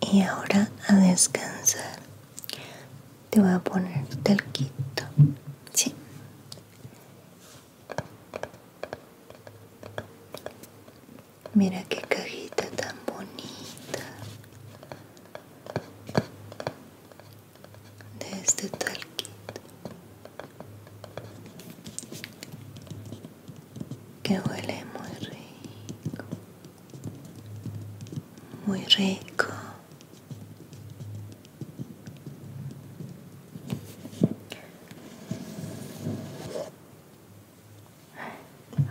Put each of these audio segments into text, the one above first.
y ahora a descansar te voy a poner talquito sí mira qué cajita tan bonita de este talquito que huele muy rico muy rico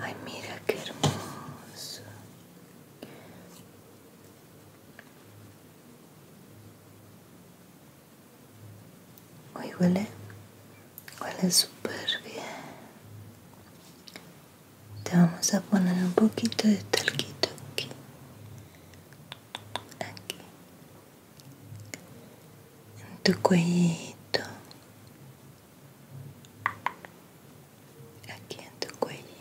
ay mira qué hermoso hoy huele es súper bien. Te vamos a poner un poquito de talquito aquí. Aquí. En tu cuellito. Aquí en tu cuellito.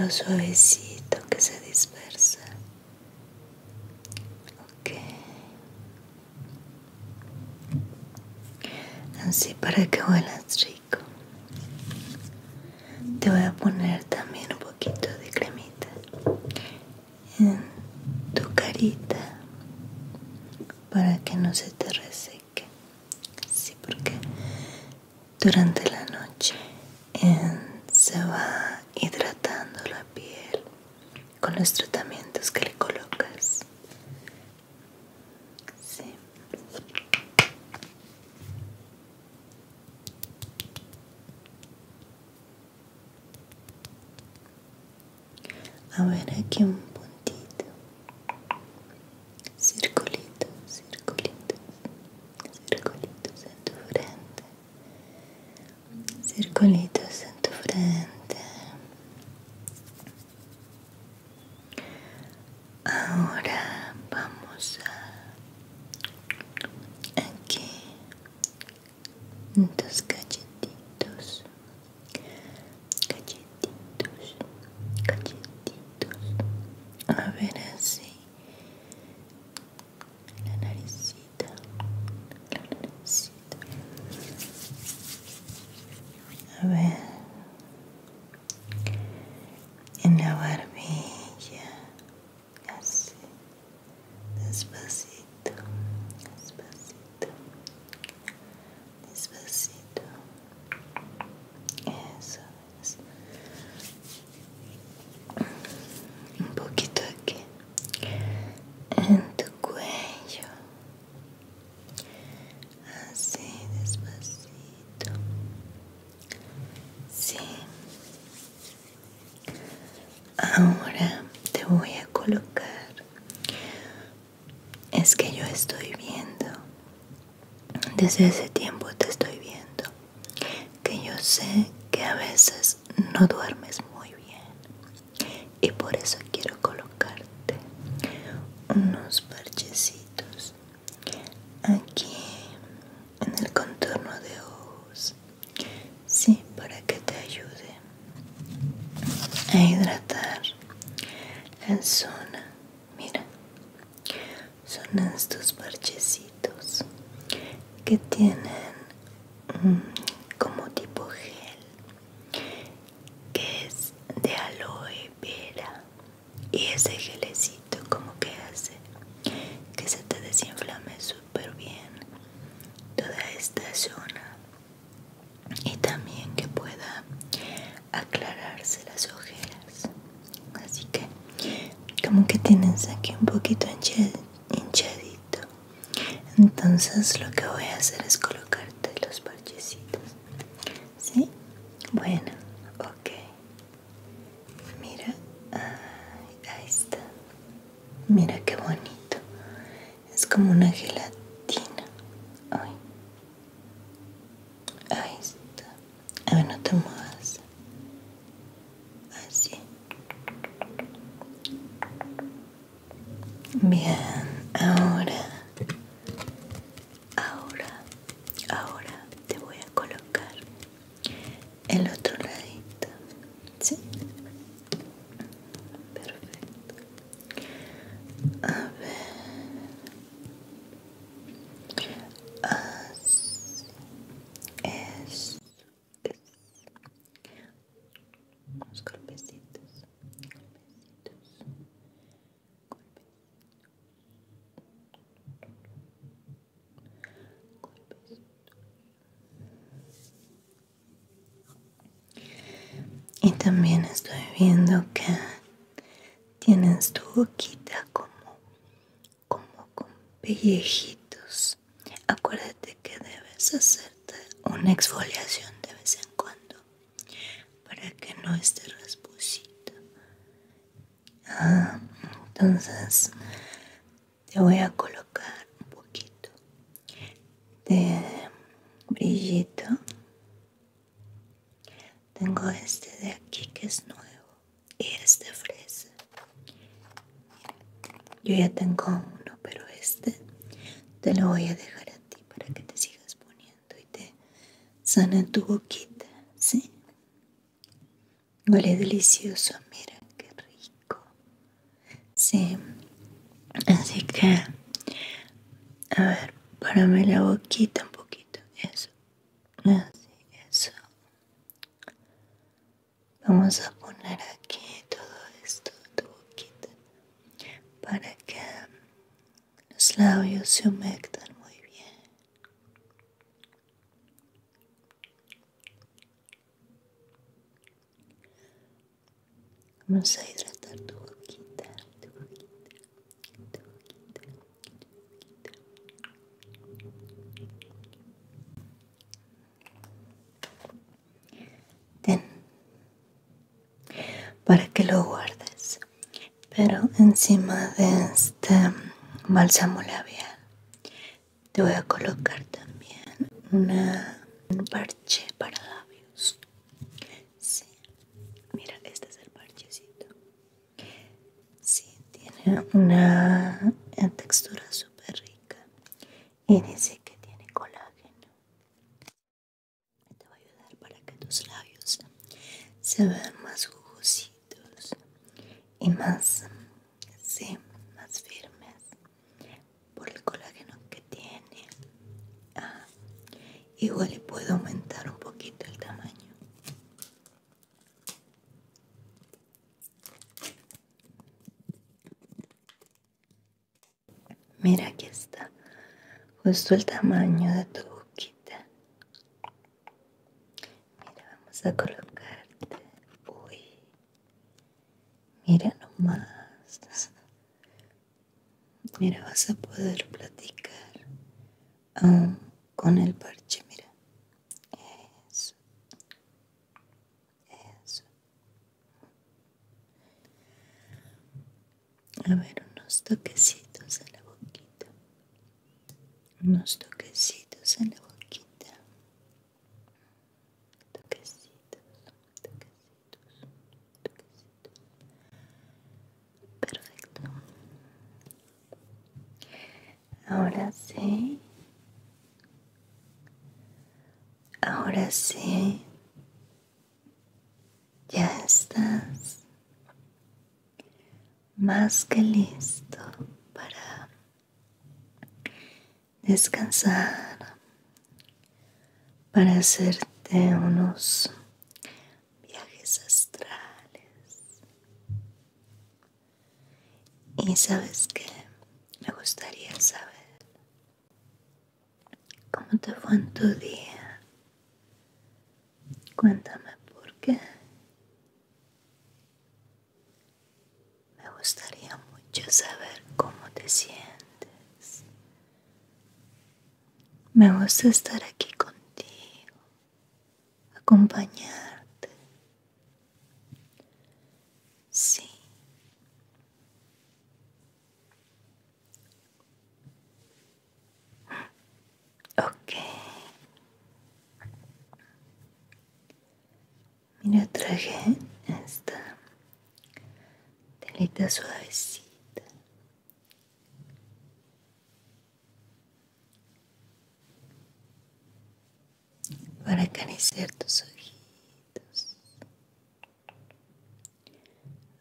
lo suavecito que se dispersa. Ok. Así para que huelas rico. Te voy a poner también un poquito de cremita en tu carita para que no se te reseque. así porque durante la noche eh, se va hidratando la piel con los tratamientos que le colocas. A ver aquí un puntito, circulito, circulito, circulito en tu frente, circulitos en tu frente. Ahora vamos a aquí en cachetitos, cachetitos, cachetitos. A ver así la naricita, la naricita. A ver, en la barbilla, así, despacito, despacito, despacito. Eso es. Un poquito aquí en tu cuello así despacito sí ahora te voy a colocar es que yo estoy viendo desde ese tiempo te estoy viendo que yo sé que a veces no duermes muy bien y por eso quiero colocarte unos parchecitos aquí en el contorno de ojos sí para que te ayude a hidratar la zona mira son estos parchecitos que tienen Mm, como tipo gel que es de aloe vera y ese gelecito como que hace que se te desinflame súper bien toda esta zona y también que pueda aclararse las ojeras así que como que tienes aquí un poquito hinchadito entonces lo que voy a hacer es colocarte los parchecitos ¿sí? bueno, ok mira ahí está mira qué bonito es como una gelatina Ay. ahí está a ver no te muevas así bien ahora ahora ahora te voy a colocar el otro ladito sí perfecto a ver unos golpecitos, golpecitos, golpecitos, y también estoy viendo que tienes tu boquita como como con pellejitos. Acuérdate que debes hacerte una exfoliación de vez en cuando para que no esté rasposito. Ah, entonces te voy a colocar un poquito de brillito. Tengo este de aquí que es nuevo y este fresa. Yo ya tengo uno, pero este te lo voy a dejar a ti para que te sigas poniendo y te sane tu boquita, ¿sí? Huele delicioso, mira qué rico. Sí, así que, a ver, párame la boquita un poquito, eso, así, eso. Vamos a poner aquí todo esto, tu boquita, para que los labios se humecten muy bien. Vamos a hidratar tu boquita, tu boquita, tu boquita, tu boquita. Ten, para que lo guardes, pero encima de este bálsamo labial te voy a colocar también un parche para labios. Sí, mira, este es el parchecito. Sí, tiene una textura super rica y dice que tiene colágeno. Te va a ayudar para que tus labios se vean más jugositos y más, más firmes por el colágeno que tiene. Ah, igual le puedo aumentar un poquito el tamaño. Mira, aquí está justo el tamaño de tu boquita. Mira, vamos a colocarte. Uy, mira nomás. Mira, vas a poder platicar con el parche. Mira, eso. Eso. A ver, unos toquecitos en la boquita. Unos toquecitos en la boquita. Toquecitos, toquecitos, toquecitos. Perfecto. Ahora sí. Ahora sí. Ya estás más que listo para descansar, para hacerte unos viajes astrales y sabes que me gustaría saber cómo te fue en tu día. Cuéntame por qué. Me gustaría mucho saber cómo te sientes. Me gusta estar aquí contigo acompañarte. Sí. Ok. Mira, traje esta telita suavecita para acariciar tus ojitos.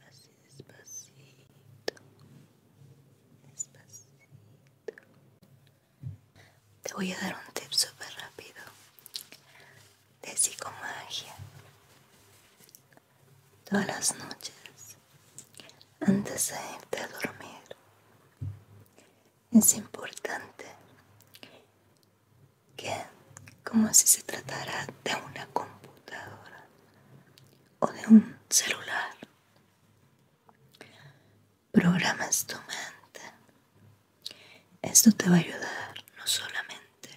Así despacito, despacito. Te voy a dar un tip súper rápido de psicomagia. Todas las noches, antes de irte a dormir, es importante que, como si se tratara de una computadora o de un celular, programas tu mente. Esto te va a ayudar no solamente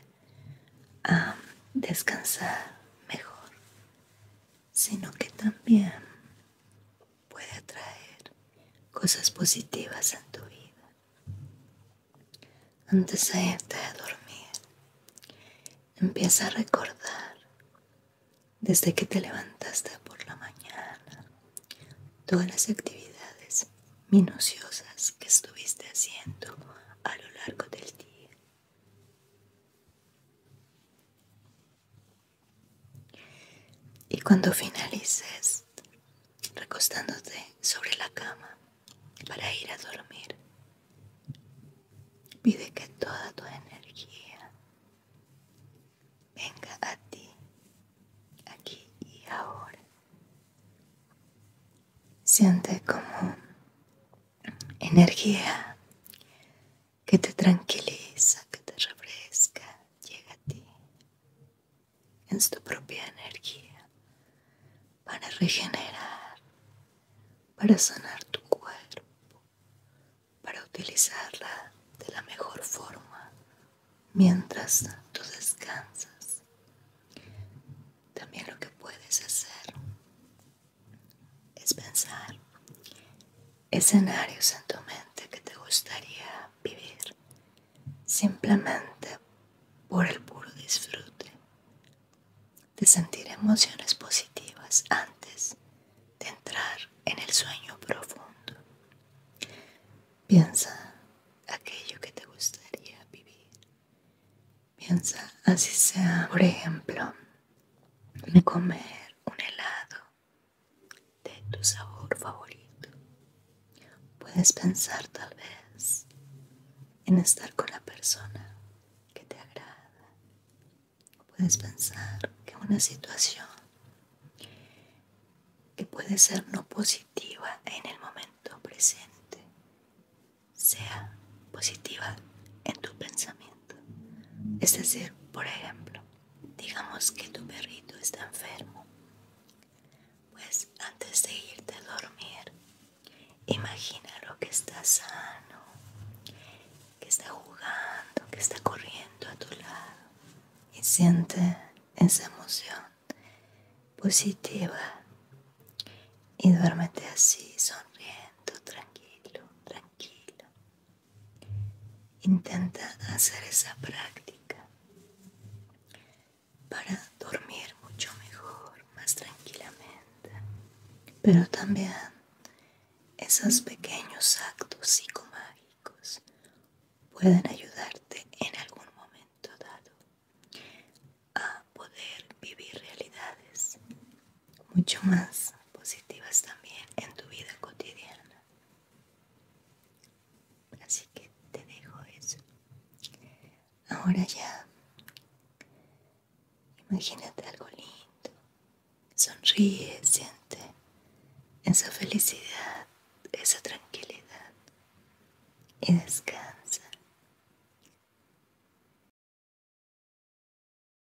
a descansar mejor, sino que también puede atraer cosas positivas en tu vida. Antes de irte a dormir, empieza a recordar desde que te levantaste por la mañana todas las actividades minuciosas que estuviste haciendo a lo largo del día. Y cuando finalices, recostándote sobre la cama para ir a dormir, pide que toda tu energía venga a ti, aquí y ahora. Siente como energía que te tranquiliza, que te refresca, llega a ti. En tu propia energía para regenerar, para sanar tu cuerpo, para utilizarla de la mejor forma mientras tú descansas. También lo que puedes hacer es pensar escenarios en tu mente que te gustaría vivir simplemente por el puro disfrute de sentir emociones positivas antes de entrar en el sueño profundo. Piensa aquello que te gustaría vivir. Piensa así sea, por ejemplo, comer un helado de tu sabor favorito. Puedes pensar tal vez en estar con la persona que te agrada. Puedes pensar que una situación que puede ser no positiva en el momento presente sea positiva en tu pensamiento. Es decir, por ejemplo, digamos que tu perrito está enfermo, pues antes de irte a dormir, imagina lo que está sano, que está jugando, que está corriendo a tu lado y siente esa emoción positiva y duérmete así sonriendo, tranquilo, tranquilo. Intenta hacer esa práctica para dormir mucho mejor, más tranquilamente. Pero también esos pequeños actos psicomágicos pueden ayudarte en algún momento dado a poder vivir realidades mucho más positivas también en tu vida cotidiana. Así que te dejo eso. Ahora ya, imagínate algo lindo. Sonríe, siente esa felicidad, esa tranquilidad y descansa.